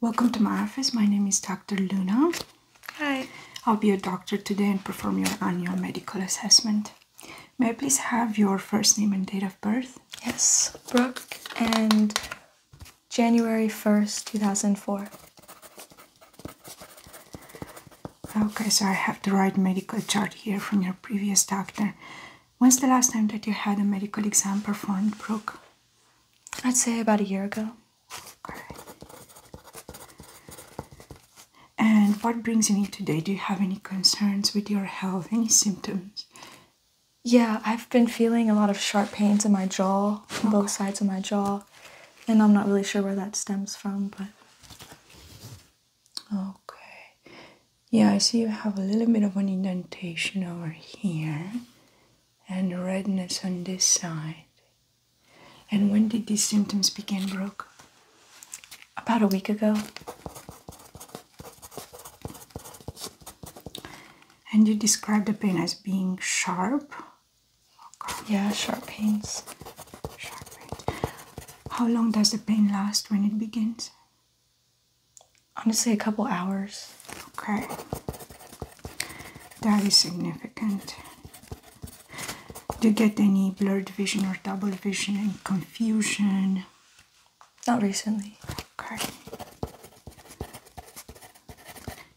Welcome to my office. My name is Dr. Luna. Hi. I'll be your doctor today and perform your annual medical assessment. May I please have your first name and date of birth? Yes, Brooke, and January 1st, 2004. Okay, so I have the right medical chart here from your previous doctor. When's the last time that you had a medical exam performed, Brooke? I'd say about a year ago. All right. And what brings you here today? Do you have any concerns with your health? Any symptoms? Yeah, I've been feeling a lot of sharp pains in my jaw, both sides of my jaw, and I'm not really sure where that stems from, but. Okay. Yeah, I see you have a little bit of an indentation over here and redness on this side. And when did these symptoms begin, Brooke? About a week ago. And you describe the pain as being sharp? yeah, sharp pains. Sharp pain. How long does the pain last when it begins? Honestly, a couple hours. Okay. That is significant. Do you get any blurred vision or double vision and confusion? Not recently. Okay.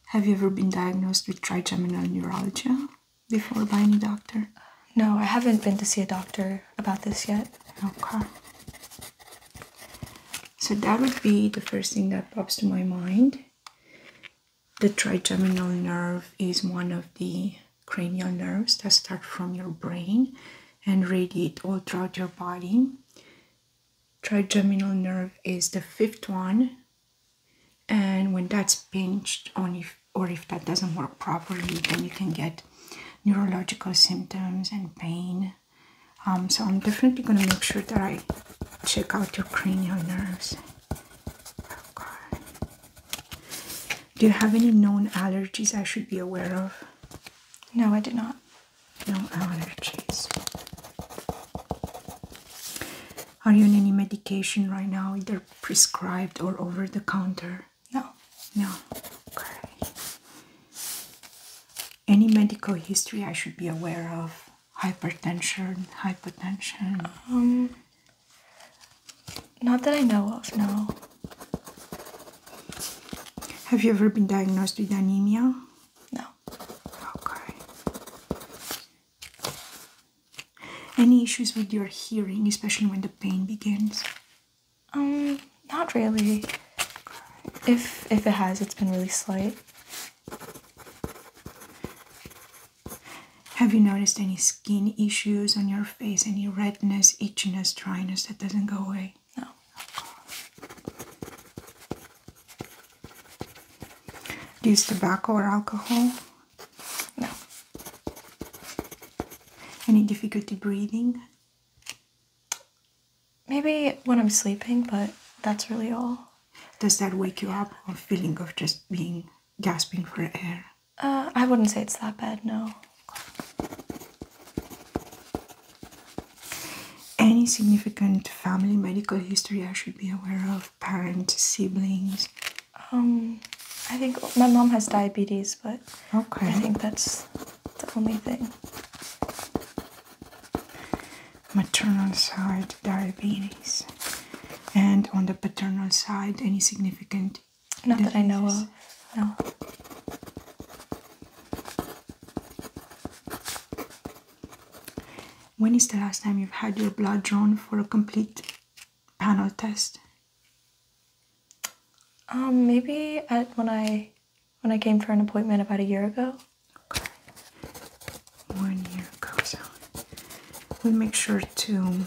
Have you ever been diagnosed with trigeminal neuralgia before by any doctor? No, I haven't been to see a doctor about this yet. Okay. So that would be the first thing that pops to my mind. The trigeminal nerve is one of the cranial nerves that start from your brain and radiate all throughout your body. Trigeminal nerve is the fifth one, and when that's pinched or if that doesn't work properly, then you can get neurological symptoms and pain. Um, so I'm definitely going to make sure that I check out your cranial nerves. Do you have any known allergies I should be aware of? No, I do not. No allergies. Are you on any medication right now, either prescribed or over the counter? No. No. Okay. Any medical history I should be aware of? hypertension, hypotension? Um, not that I know of, no. Have you ever been diagnosed with anemia? No. Okay. Any issues with your hearing, especially when the pain begins? Um, not really. If if it has, it's been really slight. Have you noticed any skin issues on your face? Any redness, itchiness, dryness that doesn't go away? No. use tobacco or alcohol? No. Any difficulty breathing? Maybe when I'm sleeping, but that's really all. Does that wake you up, A feeling of just being gasping for air? Uh, I wouldn't say it's that bad, no. Any significant family medical history I should be aware of? Parents, siblings? Um, I think my mom has diabetes, but I think that's the only thing maternal side diabetes and on the paternal side any significant not that I know of no when is the last time you've had your blood drawn for a complete panel test um maybe at when I when I came for an appointment about a year ago Okay. More near goes on. We make sure to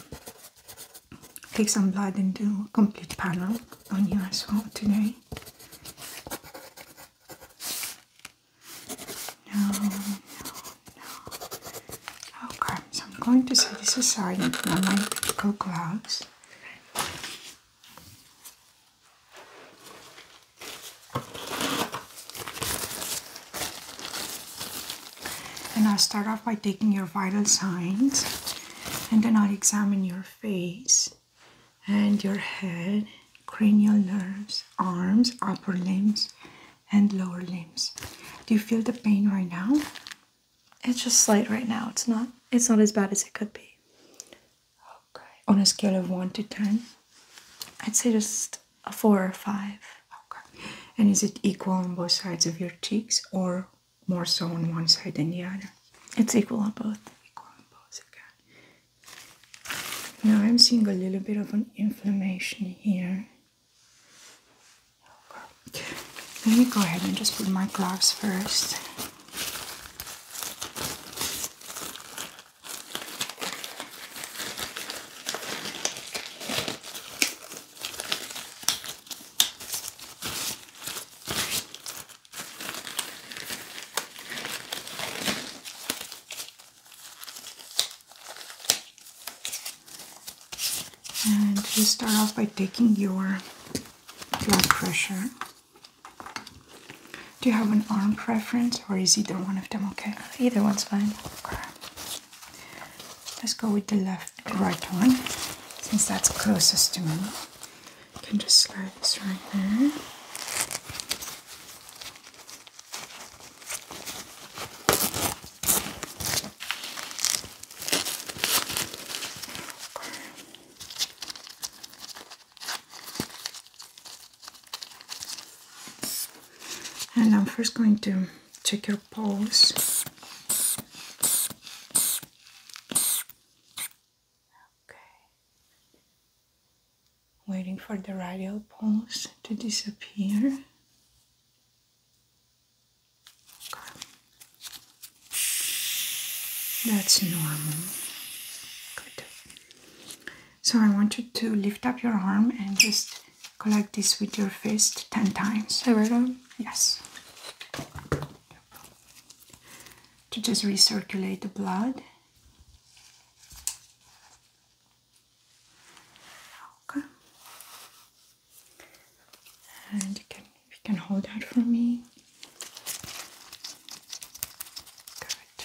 take some blood and do a complete panel on you as well today. No, no, no. Okay, oh, so I'm going to set this aside and put on my medical gloves. And i start off by taking your vital signs, and then I'll examine your face and your head, cranial nerves, arms, upper limbs, and lower limbs. Do you feel the pain right now? It's just slight right now. It's not it's not as bad as it could be. Okay. On a scale of 1 to 10, I'd say just a four or five. Okay. And is it equal on both sides of your cheeks or more so on one side than the other? It's equal on both. Equal on both, okay. Now I'm seeing a little bit of an inflammation here. Okay. Let me go ahead and just put my gloves first. And just start off by taking your blood pressure. Do you have an arm preference? or is either one of them okay? Either one's fine. Let's go with the left, the right one, since that's closest to me. can just slide this right there. And I'm first going to check your pulse. Okay. Waiting for the radial pulse to disappear. That's normal. So I want you to lift up your arm and just collect this with your fist 10 times. Every time? Yes. To just recirculate the blood. Okay. And you can you can hold that for me. Good.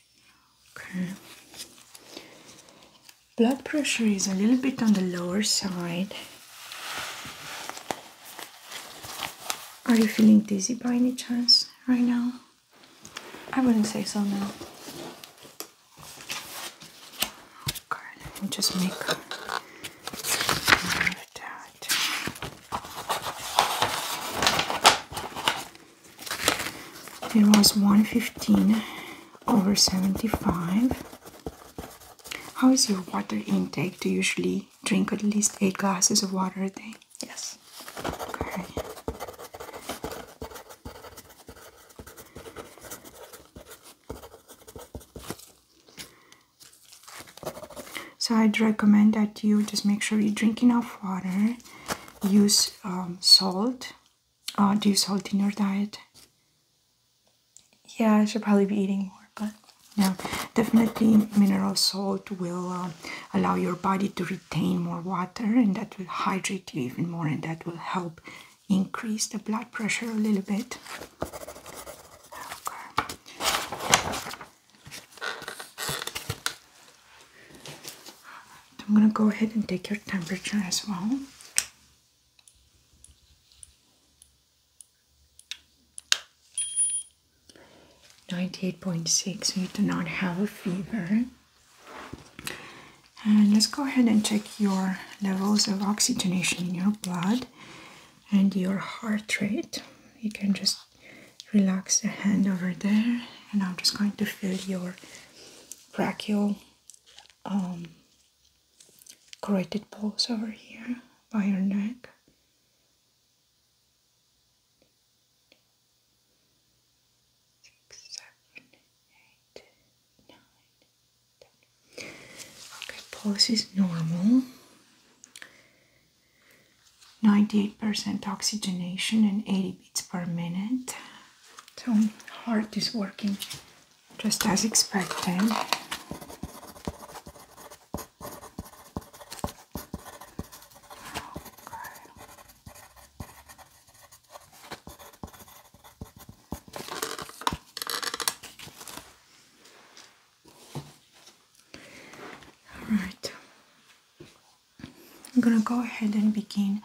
Okay. Blood pressure is a little bit on the lower side. Are you feeling dizzy by any chance right now? I wouldn't say so, now. Okay, just make that. It was 115 over 75. How is your water intake? Do you usually drink at least 8 glasses of water a day? Yes. Okay. So I'd recommend that you just make sure you drink enough water use um, salt. Uh, do you salt in your diet? Yeah, I should probably be eating more, but definitely mineral salt will um, allow your body to retain more water and that will hydrate you even more and that will help increase the blood pressure a little bit. I'm going to go ahead and take your temperature as well. Ninety-eight point six. You do not have a fever. And let's go ahead and check your levels of oxygenation in your blood and your heart rate. You can just relax your hand over there, and I'm just going to feel your brachial um, corrected pulse over here by your neck. Okay, pulse is normal. 98% oxygenation and 80 it's per minute. So heart is working just as expected. All right. I'm gonna go ahead and begin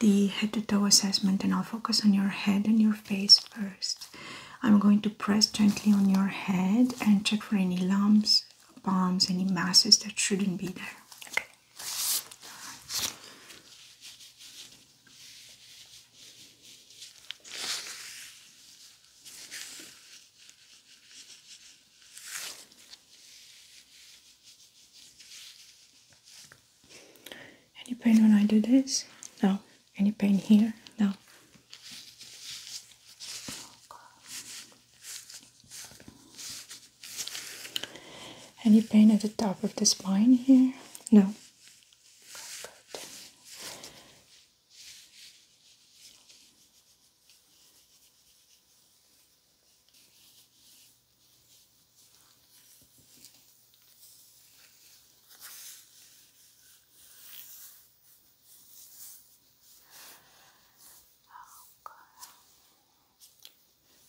the head to toe assessment, and I'll focus on your head and your face first. I'm going to press gently on your head and check for any lumps, bumps, any masses that shouldn't be there. Any pain when I do this? No. Any pain here? No. Any pain at the top of the spine here? No.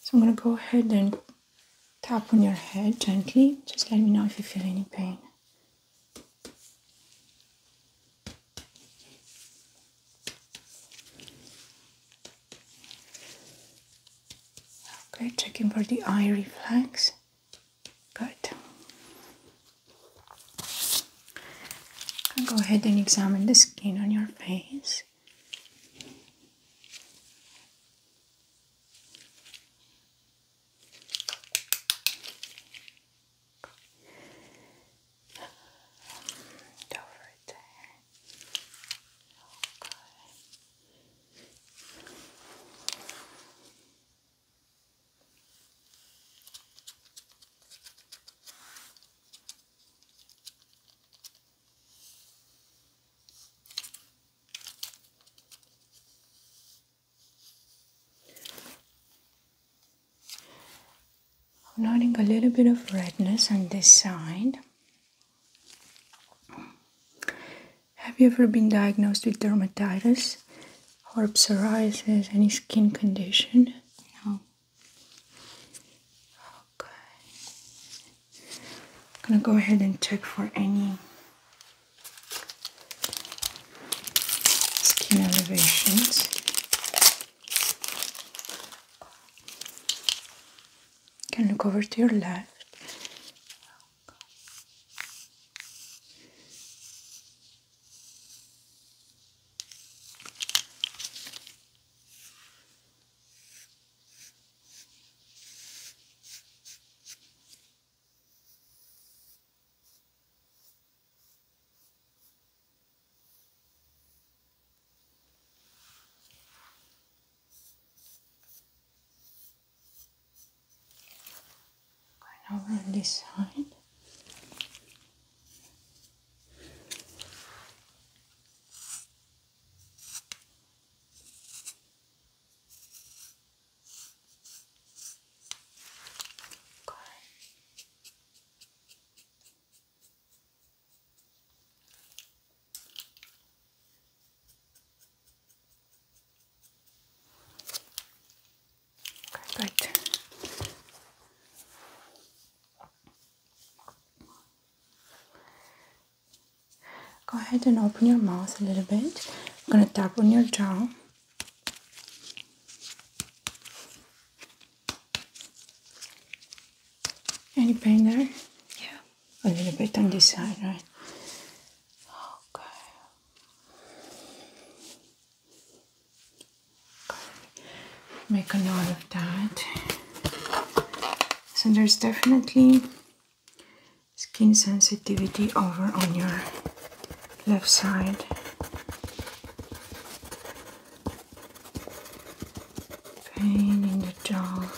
So I'm going to go ahead and tap on your head gently. Just let me know if you feel any pain. Okay, checking for the eye reflex. Good. go ahead and examine the skin on your face. I'm noting a little bit of redness on this side. Have you ever been diagnosed with dermatitis or psoriasis, any skin condition? No. Okay. I'm gonna go ahead and check for any skin elevations can look over to your left. And over on this side. Okay. Go ahead and open your mouth a little bit. I'm going to tap on your jaw. Any pain there? Yeah a little bit on this side, right? Okay. Make a note of that. So there's definitely skin sensitivity over on your left side. Pain in the jaw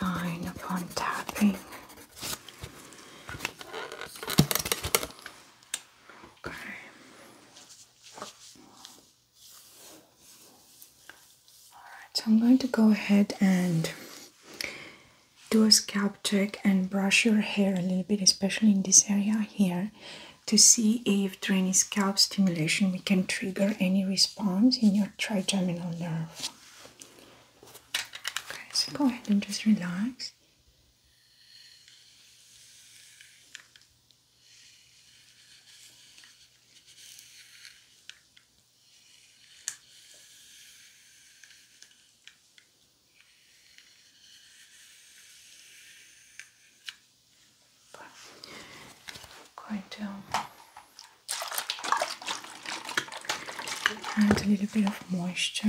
line upon tapping. Okay. Alright, so I'm going to go ahead and do a scalp check and brush your hair a little bit, especially in this area here, to see if active draining scalp stimulation, we can trigger any response in your trigeminal nerve. Okay, so go ahead and just relax. I'm going to add a little bit of moisture.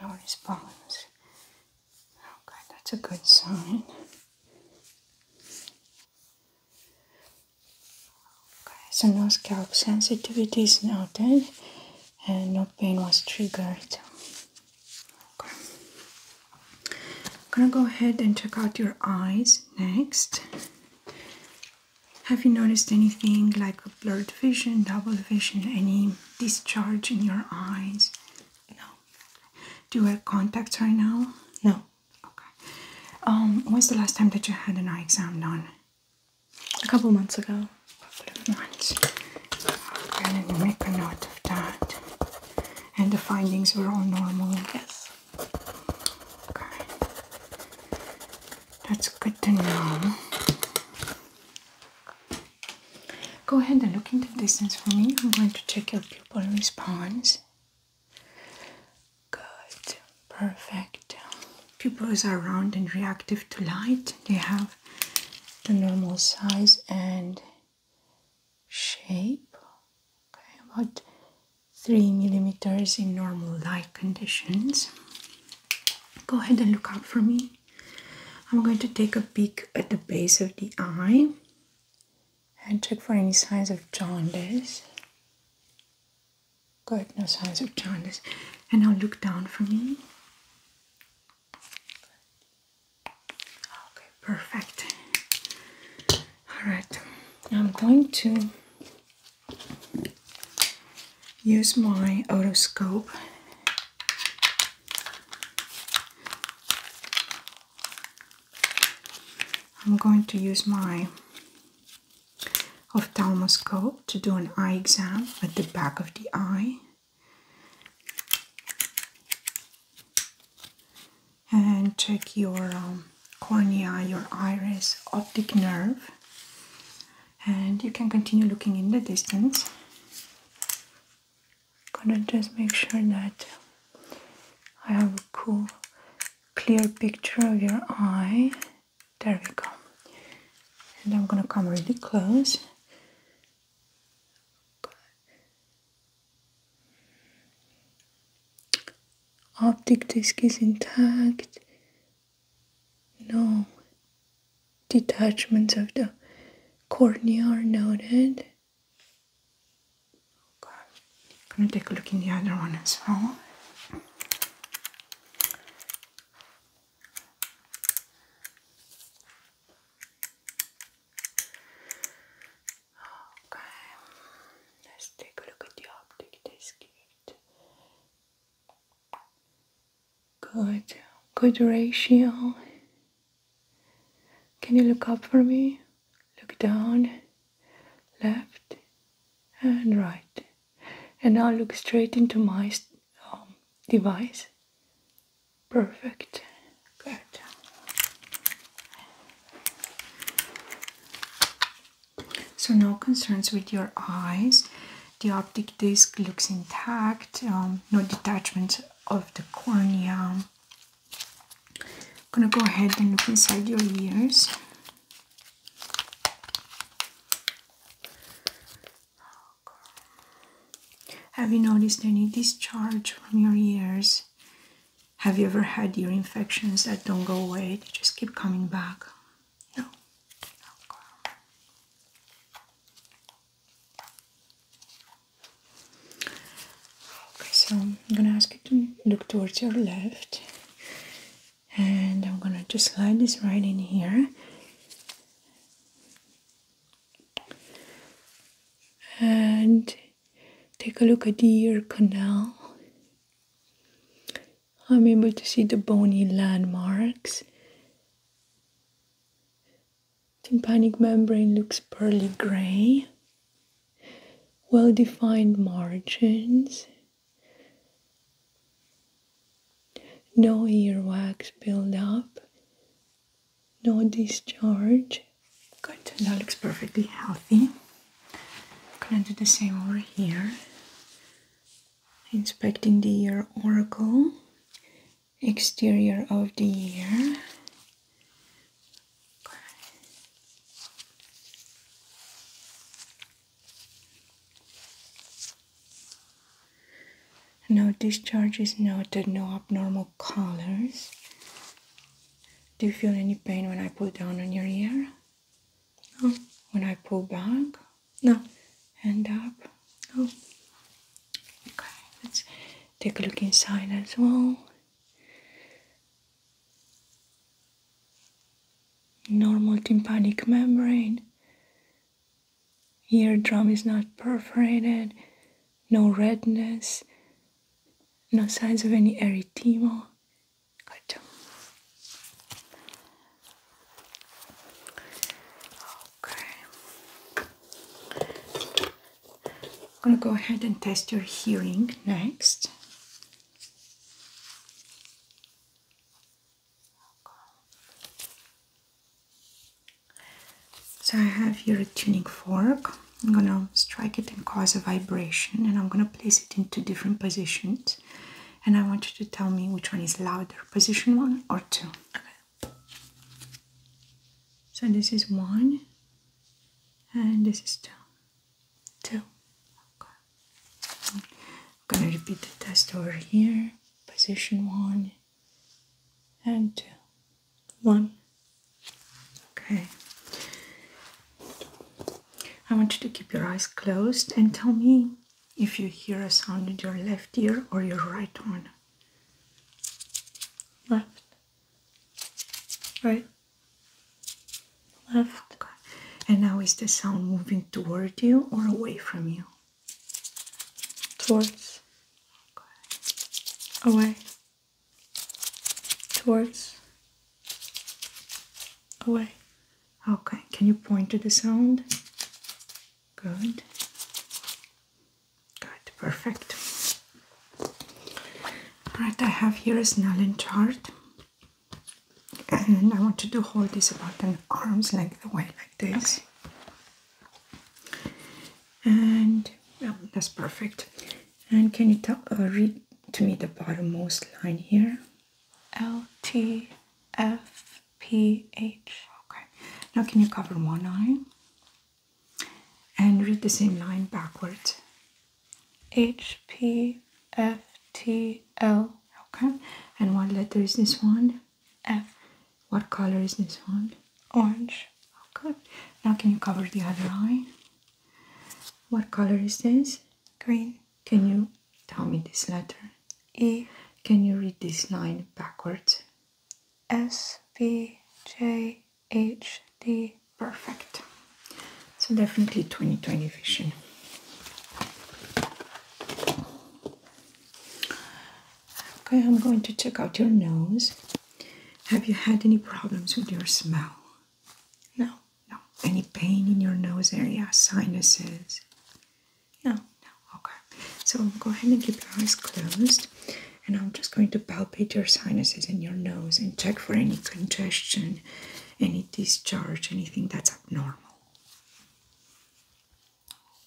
No response. Okay, that's a good sign. Okay, so no scalp sensitivity is noted and no pain was triggered. Okay. I'm gonna go ahead and check out your eyes next. Have you noticed anything like a blurred vision, double vision, any discharge in your eyes? No. Do you have contacts right now? No. Okay. Um, when's the last time that you had an eye exam done? A couple months ago. A couple of months. Okay, let make a note of that. And the findings were all normal. Yes. Okay. That's good to know. Go ahead and look into the distance for me. I'm going to check your pupil response. Good, perfect. Pupils are round and reactive to light. They have the normal size and shape. Okay, about three millimeters in normal light conditions go ahead and look up for me. I'm going to take a peek at the base of the eye and check for any signs of jaundice. Good, no signs of jaundice. And now look down for me. Okay, perfect. All right, I'm going to use my otoscope I'm going to use my ophthalmoscope to do an eye exam at the back of the eye and check your um, cornea, your iris, optic nerve and you can continue looking in the distance. Gonna just make sure that I have a cool, clear picture of your eye. There we go. And I'm gonna come really close. Optic disc is intact. No detachments of the cornea are noted. Okay. i gonna take a look in the other one as well. Okay, let's take a look at the optic disc. Good, good ratio. Can you look up for me? Look down, left and right. And now look straight into my um, device. Perfect. Good. So no concerns with your eyes the optic disc looks intact, um, no detachment of the cornea. I'm gonna go ahead and look inside your ears. Have you noticed any discharge from your ears? Have you ever had ear infections that don't go away? They just keep coming back you so I'm gonna ask you to look towards your left, and I'm gonna just slide this right in here. And take a look at the ear canal. I'm able to see the bony landmarks. Tympanic membrane looks pearly gray. Well defined margins. No earwax buildup. No discharge. Good, that looks perfectly healthy. gonna do the same over here inspecting the ear, oracle exterior of the ear. No Now discharge is noted, no abnormal colors. Do you feel any pain when I pull down on your ear? No. When I pull back? No. hand up. Oh. Okay. Let's take a look inside as well. Normal tympanic membrane. Eardrum is not perforated. No redness. No signs of any erythema. Good. Okay. I'm going to go ahead and test your hearing next. So I have here a tuning fork. I'm going to strike it and cause a vibration and I'm going to place it in two different positions. And I want you to tell me which one is louder, position one or two. So this is one, and this is two. Two. Okay. I'm gonna repeat the test over here. Position one and two. One. Okay. I want you to keep your eyes closed and tell me if you hear a sound in your left ear or your right one. Left, right, left. Okay. And now is the sound moving toward you or away from you? Towards, okay. away, towards, away. Okay, can you point to the sound? Good. Good, perfect. Alright, I have here a Snellen chart. And I want you to hold this about an arm's length away like this. And oh, that's perfect. And can you tell, uh, read to me the bottommost line here? L T F P H. Okay. Now can you cover one eye and read the same line backwards? H P F T L. Okay. And what letter is this one? F. What color is this one? Orange. Okay. Now can you cover the other eye? What color is this? Green. Can you tell me this letter? E. Can you read this line backwards? S, V, J, H, D. Perfect. So definitely 2020 vision. Okay, I'm going to check out your nose. Have you had any problems with your smell? No. No. Any pain in your nose area, sinuses? No, okay. So go ahead and keep your eyes closed, and I'm just going to palpate your sinuses and your nose and check for any congestion, any discharge, anything that's abnormal.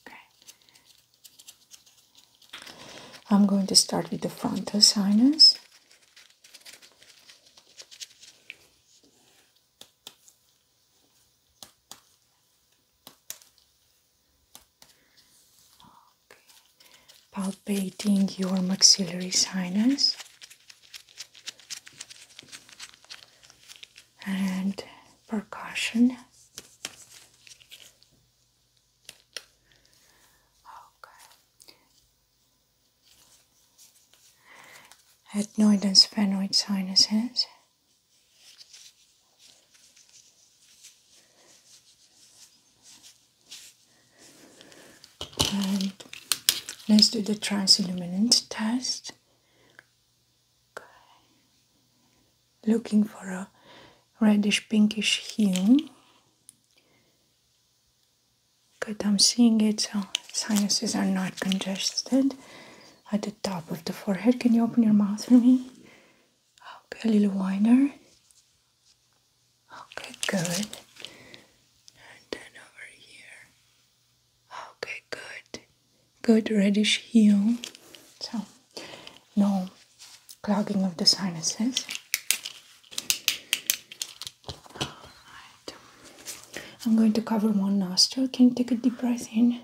Okay. I'm going to start with the frontal sinus. Palpating your maxillary sinus and percussion. Okay. Adenoid and sphenoid sinuses let's do the transilluminance test. Looking for a reddish pinkish hue. Good, I'm seeing it, so sinuses are not congested at the top of the forehead. Can you open your mouth for me? Okay, a little whiner. Okay, good. And then over here. Okay, good. Good reddish hue. So, no clogging of the sinuses. right. I'm going to cover one nostril. Can you take a deep breath in?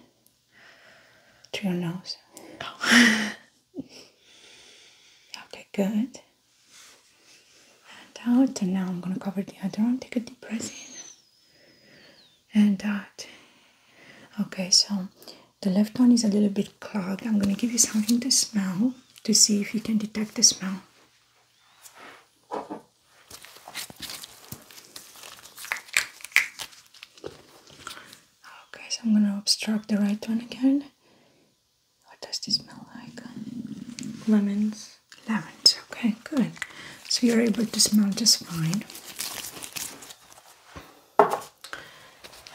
to your nose. okay, good. And uh, out. And now I'm gonna cover the other one. Take a deep breath in and out. Uh, okay, so the left one is a little bit clogged. I'm gonna give you something to smell to see if you can detect the smell. Okay, oh, so I'm gonna obstruct the right one again. What does this smell like? Lemons. Lemons, okay, good. So you're able to smell just fine.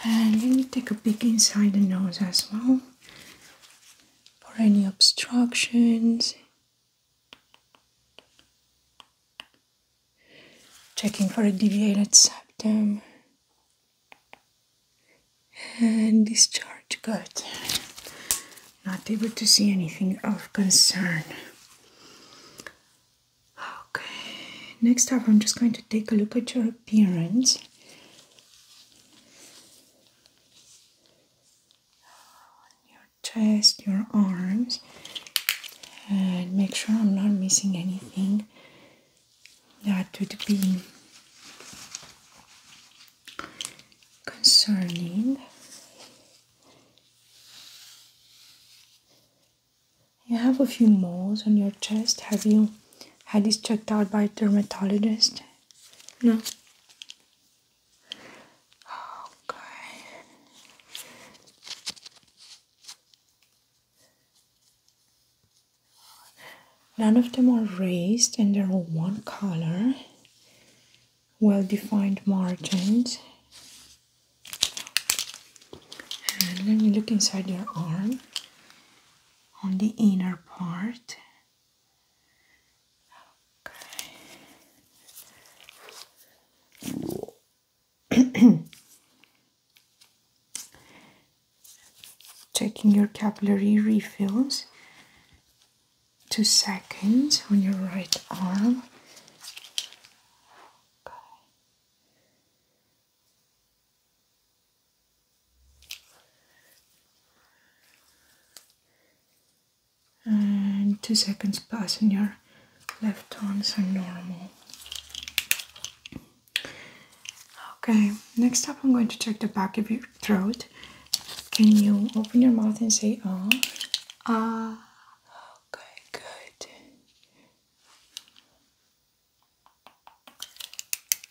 And let me take a peek inside the nose as well for any obstructions. Checking for a deviated septum and discharge. Good. Not able to see anything of concern. Okay, next up, I'm just going to take a look at your appearance. Your chest, your arms, and make sure I'm not missing anything that would be concerning. You have a few moles on your chest. Have you had this checked out by a dermatologist? No. Okay. None of them are raised and they're all one color. Well defined margins. let me look inside your arm on the inner part. Checking your capillary refills two seconds on your right arm and two seconds passing your left arms are normal Okay, next up I'm going to check the back of your throat. Can you open your mouth and say ah? Ah. okay, good.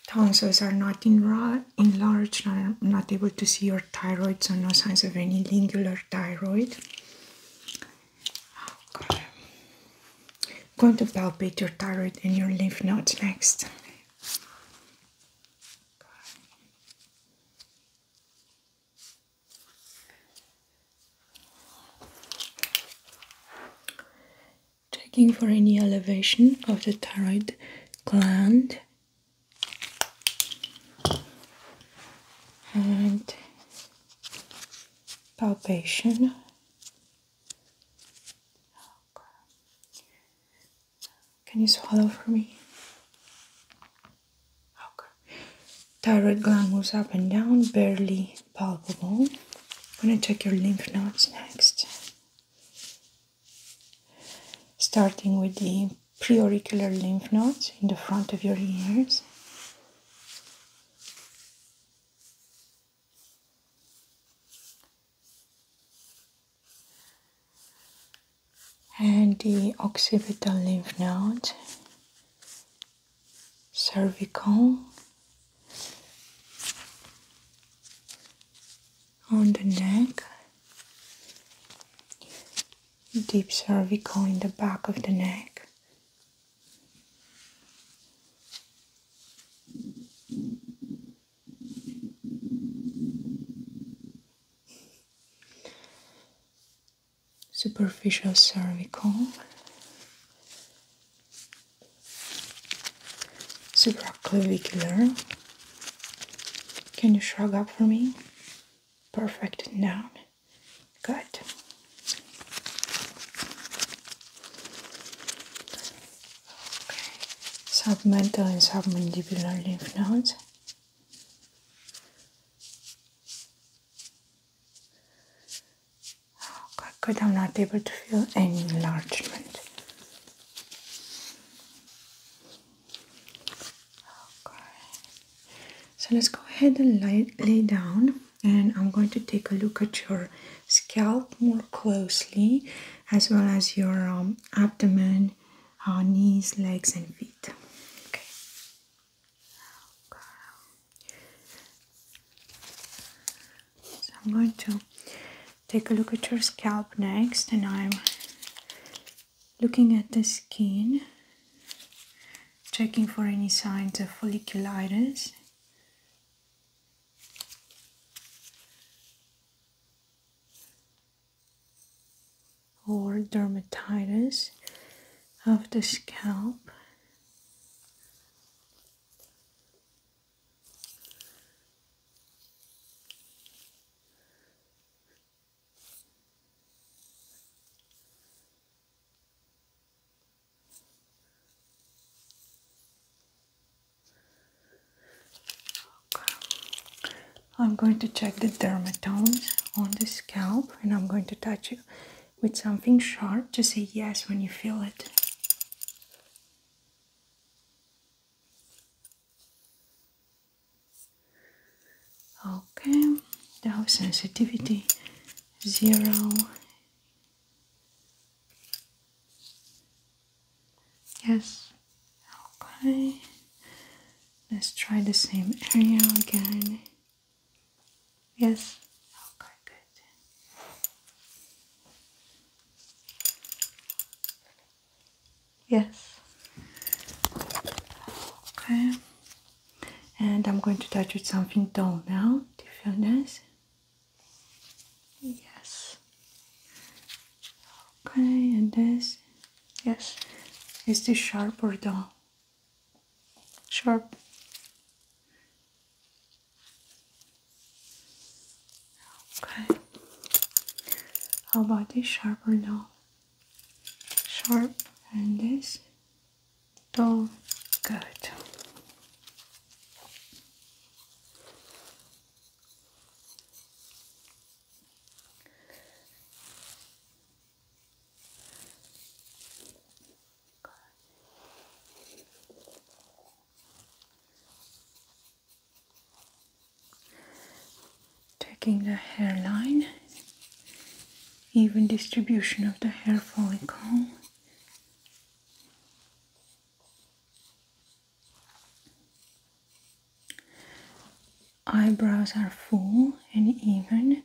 Tonsils are not enlarged, I'm not able to see your thyroid, so no signs of any lingular thyroid. I'm going to palpate your thyroid and your lymph nodes next. Checking for any elevation of the thyroid gland and palpation Okay. Can you swallow for me? Okay. Thyroid gland moves up and down, barely palpable. I'm gonna check your lymph nodes next. Starting with the preauricular lymph nodes in the front of your ears and the occipital lymph node, cervical, on the neck, deep cervical in the back of the neck, Superficial cervical, supraclavicular. Can you shrug up for me? Perfect Now, Good. Submental and submandibular lymph nodes. Okay, good. I'm not able to feel any enlargement. Okay. So let's go ahead and lay, lay down and I'm going to take a look at your scalp more closely as well as your um, abdomen, uh, knees, legs, and feet. Okay. So I'm going to take a look at your scalp next, and I'm looking at the skin, checking for any signs of folliculitis or dermatitis of the scalp. I'm going to check the dermatomes on the scalp and I'm going to touch you with something sharp to say yes when you feel it. Okay, now sensitivity zero Yes. Okay. Let's try the same area again. Yes. Okay, good. Yes. Okay. And I'm going to touch it something dull now. Do you feel nice? Yes. Okay, and this. Yes. Is this sharp or dull? Sharp. Okay. How about this sharp or dull? Sharp and this dull. Good. Taking the hairline, even distribution of the hair follicle. Eyebrows are full and even.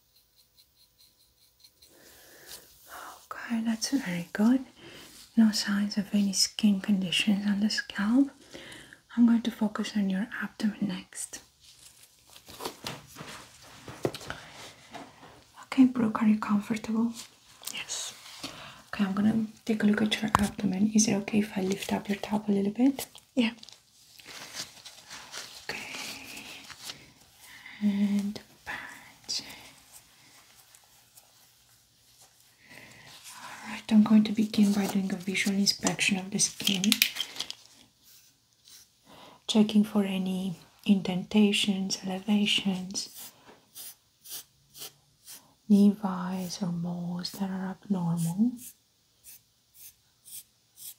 Okay, that's very good. No signs of any skin conditions on the scalp. I'm going to focus on your abdomen next. Okay, Brooke, are you comfortable? Yes. Okay, I'm gonna take a look at your abdomen. Is it okay if I lift up your top a little bit? Yeah. Okay and punch. Alright, I'm going to begin by doing a visual inspection of the skin, checking for any indentations, elevations, nevi or moles that are abnormal.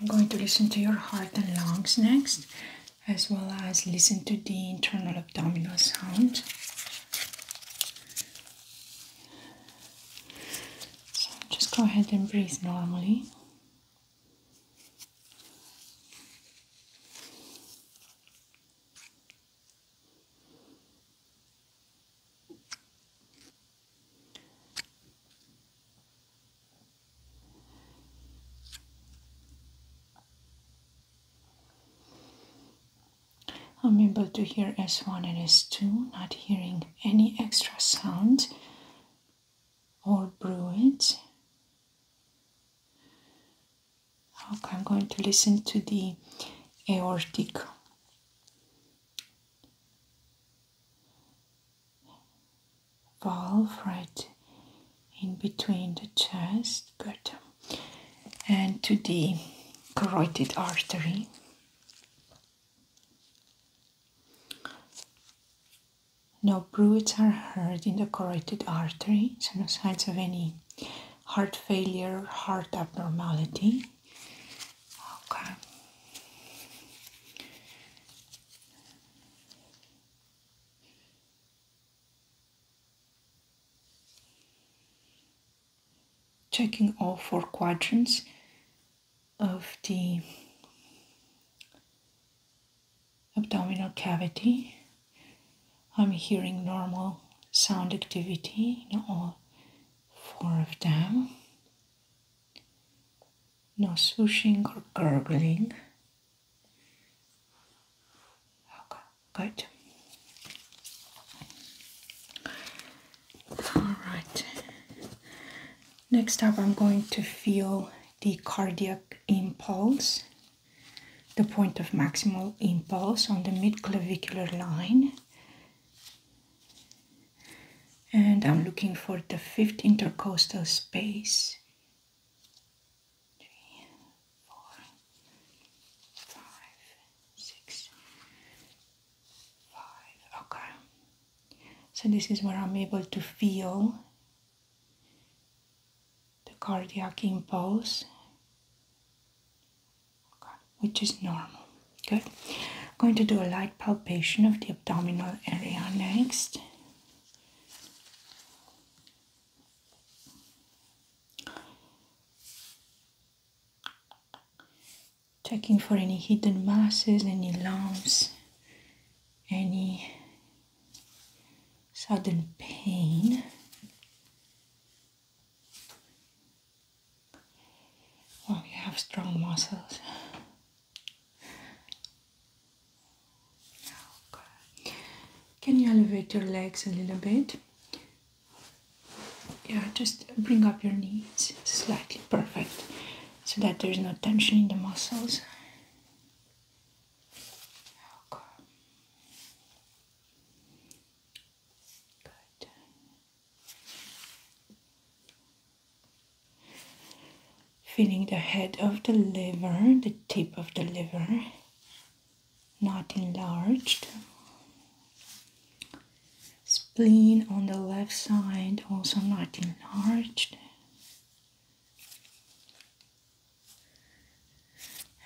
I'm going to listen to your heart and lungs next, as well as listen to the internal abdominal sound. So just go ahead and breathe normally. I'm able to hear S1 and S2, not hearing any extra sound or Bruins. Okay, I'm going to listen to the aortic valve right in between the chest, good, and to the carotid artery. No bruits are heard in the carotid artery, no signs of any heart failure, heart abnormality. Okay. Checking all four quadrants of the abdominal cavity. I'm hearing normal sound activity in all four of them. No swooshing or gurgling. Okay, good. All right. Next up, I'm going to feel the cardiac impulse the point of maximal impulse on the midclavicular line. And I'm looking for the fifth intercostal space. Three, four, five, six, five. Okay. So this is where I'm able to feel the cardiac impulse, which is normal. Good. going to do a light palpation of the abdominal area next. Checking for any hidden masses, any lumps, any sudden pain. Oh, you have strong muscles. Can you elevate your legs a little bit? Yeah, just bring up your knees slightly, perfect, so that there is no tension in the muscles. Feeling the head of the liver, the tip of the liver, not enlarged. Spleen on the left side, also not enlarged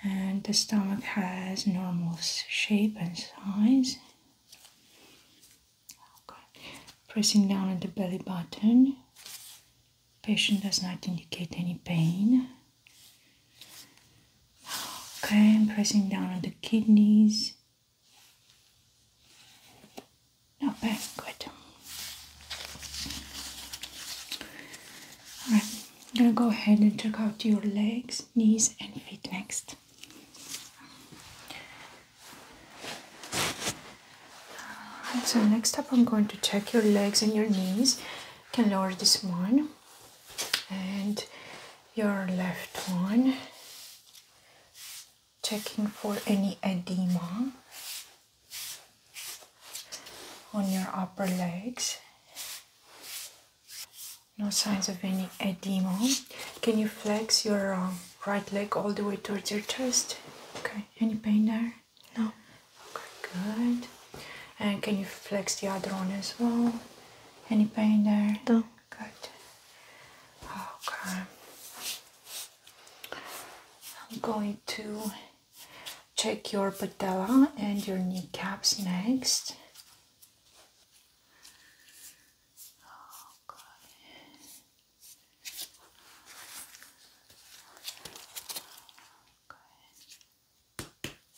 and the stomach has normal shape and size. Okay. Pressing down on the belly button, patient does not indicate any pain. Okay, I'm pressing down on the kidneys. Not bad, good. Alright, I'm gonna go ahead and check out your legs, knees, and feet next. so next up, I'm going to check your legs and your knees. can lower this one and your left one, checking for any edema on your upper legs. No signs of any edema. Can you flex your um, right leg all the way towards your chest? Okay. Any pain there? No. Okay, good. And can you flex the other one as well? Any pain there? No. Good. Okay. I'm going to Check your patella and your kneecaps next.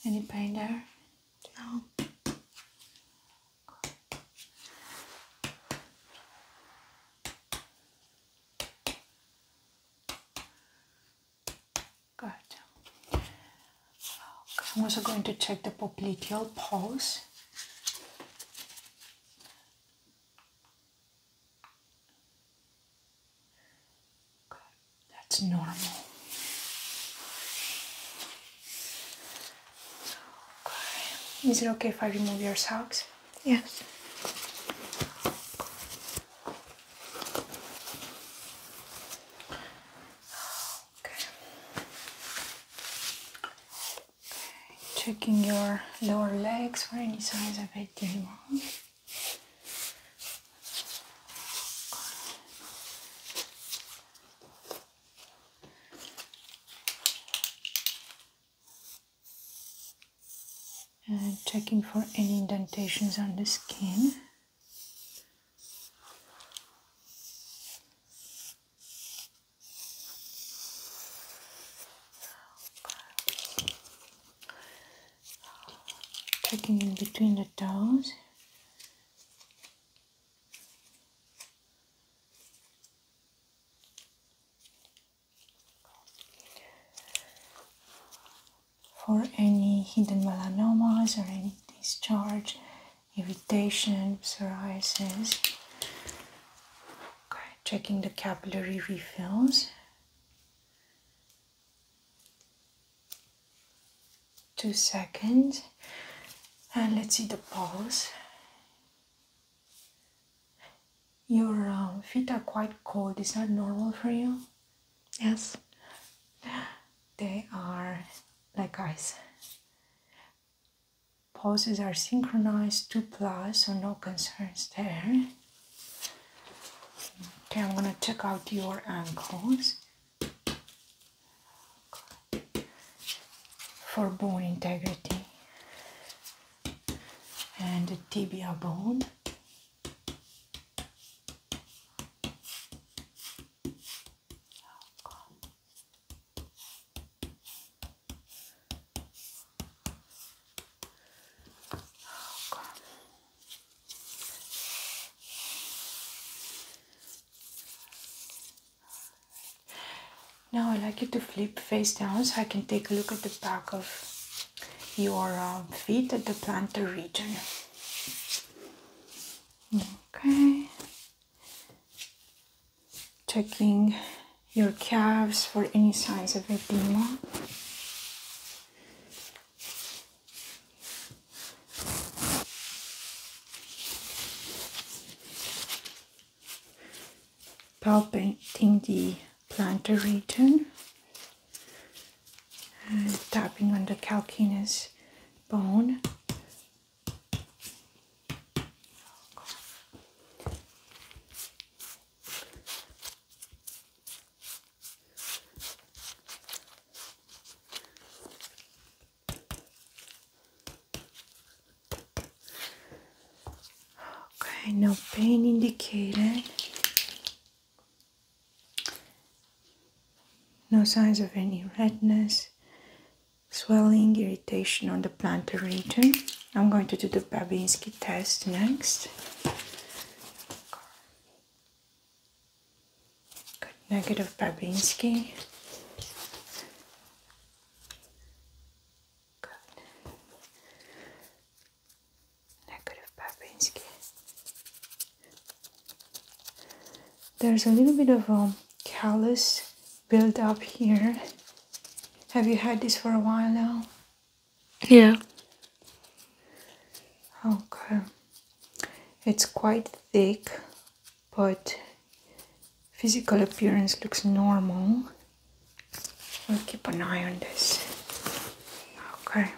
Any pain there? No. Good. I'm also going to check the popliteal pulse. That's normal. Is it okay if I remove your socks? Yes. Checking your lower legs for any signs of edema. Okay checking for any indentations on the skin. Checking in between the toes for any hidden melanomas or any discharge, irritation, psoriasis. Okay, checking the capillary refills. Two seconds, and let's see the pulse. Your um, feet are quite cold. Is that normal for you? Yes, they are like eyes. Poses are synchronized, two plus, so no concerns there. Okay, I'm gonna check out your ankles for bone integrity and the tibia bone. Now I'd like you to flip face down so I can take a look at the back of your uh, feet at the plantar region. Okay. Checking your calves for any signs of edema. Palpating the plantar region and tapping under the calcaneus bone. Okay, no pain indicated. No signs of any redness, swelling, irritation on the plantar region. I'm going to do the Babinski test next. Got negative Babinski negative Babinski. There's a little bit of a um, callus built up here. Have you had this for a while now? Yeah. Okay. It's quite thick, but physical appearance looks normal. We'll keep an eye on this. Okay.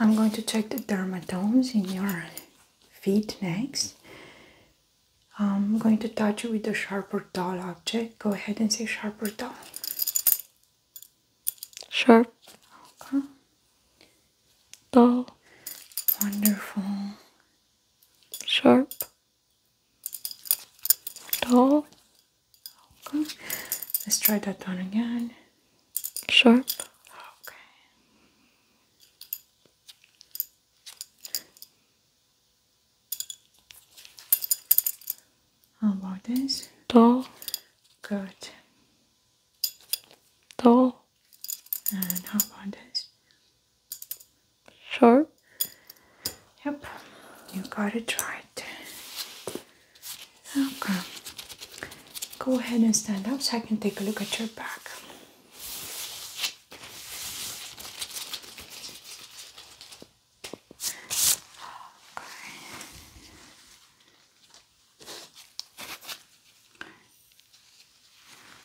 I'm going to check the dermatomes in your feet next. I'm going to touch you with a sharp or dull object. Go ahead and say sharp or dull. Sharp. Okay. Dull. Wonderful. Sharp. Dull. Okay. Let's try that one again sharp. Okay. How about this? Tall. Good. Tall. And how about this? Sharp. Yep. You got it right. Okay. Go ahead and stand up so I can take a look at your back.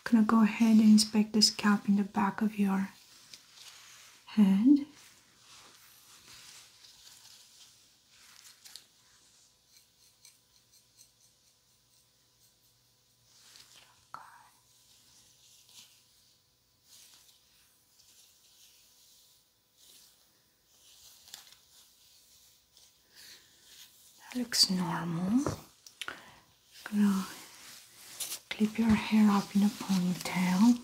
I'm gonna go ahead and inspect the scalp in the back of your head. That looks normal. gonna clip your hair up in a ponytail.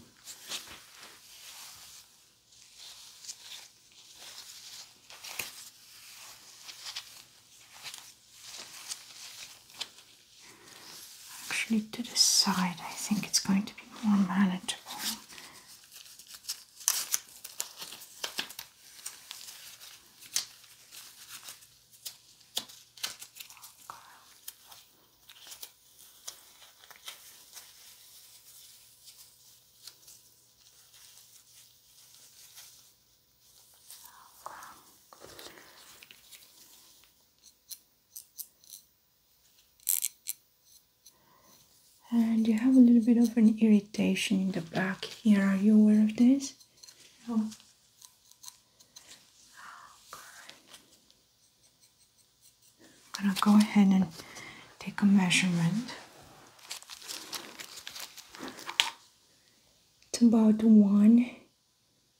Actually, to the side, I think it's going to be more manageable. And you have a little bit of an irritation in the back here. Are you aware of this? No. I'm gonna go ahead and take a measurement. It's about one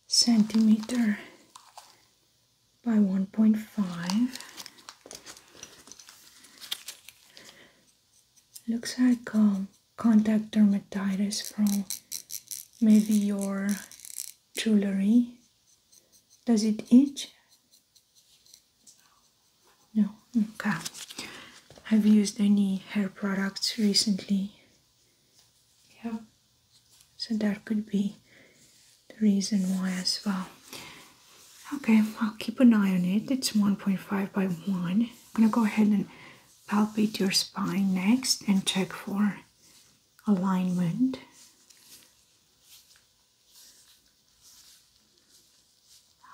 centimeter by 1.5. Looks like um, contact dermatitis from maybe your jewelry. Does it itch? No, okay. Have you used any hair products recently? Yeah. So that could be the reason why as well. Okay, I'll keep an eye on it. It's 1.5 by 1. I'm gonna go ahead and palpate your spine next and check for alignment.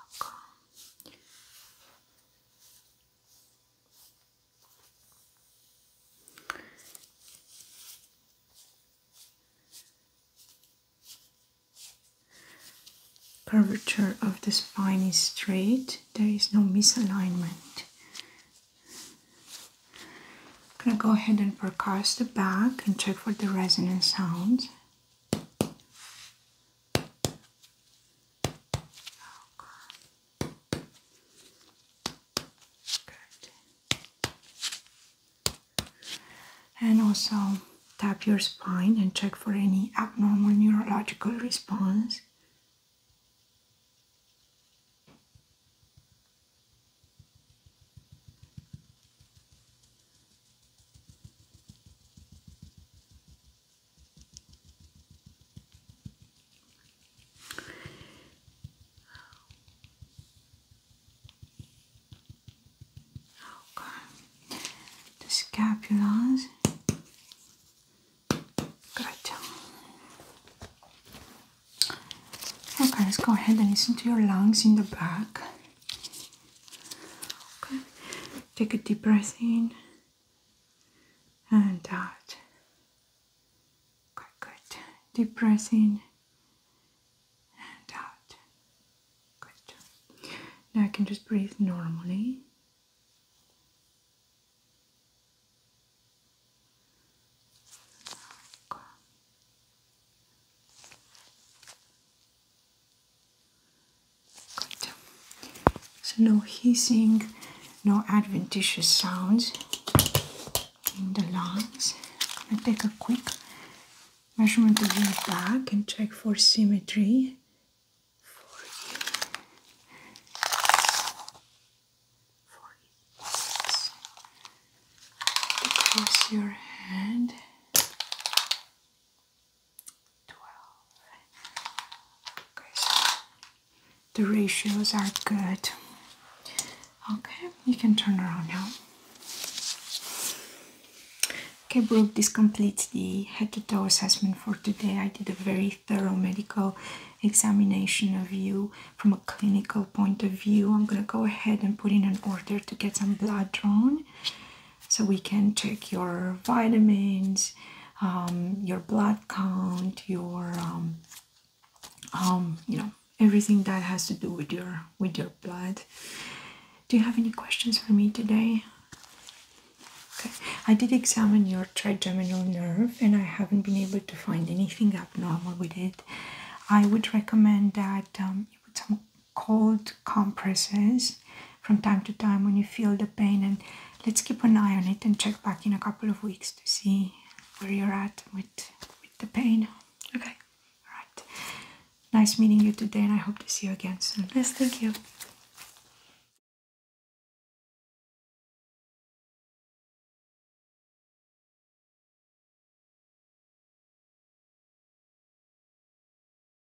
Okay. Curvature of the spine is straight, there is no misalignment. I'm gonna go ahead and percuss the back and check for the resonant sounds. Oh, and also tap your spine and check for any abnormal neurological response. Okay. The scapulas. Good. Okay, let's go ahead and listen to your lungs in the back. Okay. Take a deep breath in and out. Okay, good. Deep breath in and out. Good. Now I can just breathe normally. So no hissing, no adventitious sounds in the lungs. I'm gonna take a quick measurement of your back and check for symmetry for your head. 12. the ratios are good. Okay, you can turn around now. Okay, Brooke, this completes the head to toe assessment for today. I did a very thorough medical examination of you from a clinical point of view. I'm going to go ahead and put in an order to get some blood drawn so we can check your vitamins um, your blood count your um, um, you know everything that has to do with your with your blood do you have any questions for me today okay i did examine your trigeminal nerve and i haven't been able to find anything abnormal with it i would recommend that you put some cold compresses from time to time when you feel the pain and let's keep an eye on it and check back in a couple of weeks to see where you're at with, with the pain okay all right nice meeting you today and i hope to see you again soon yes thank you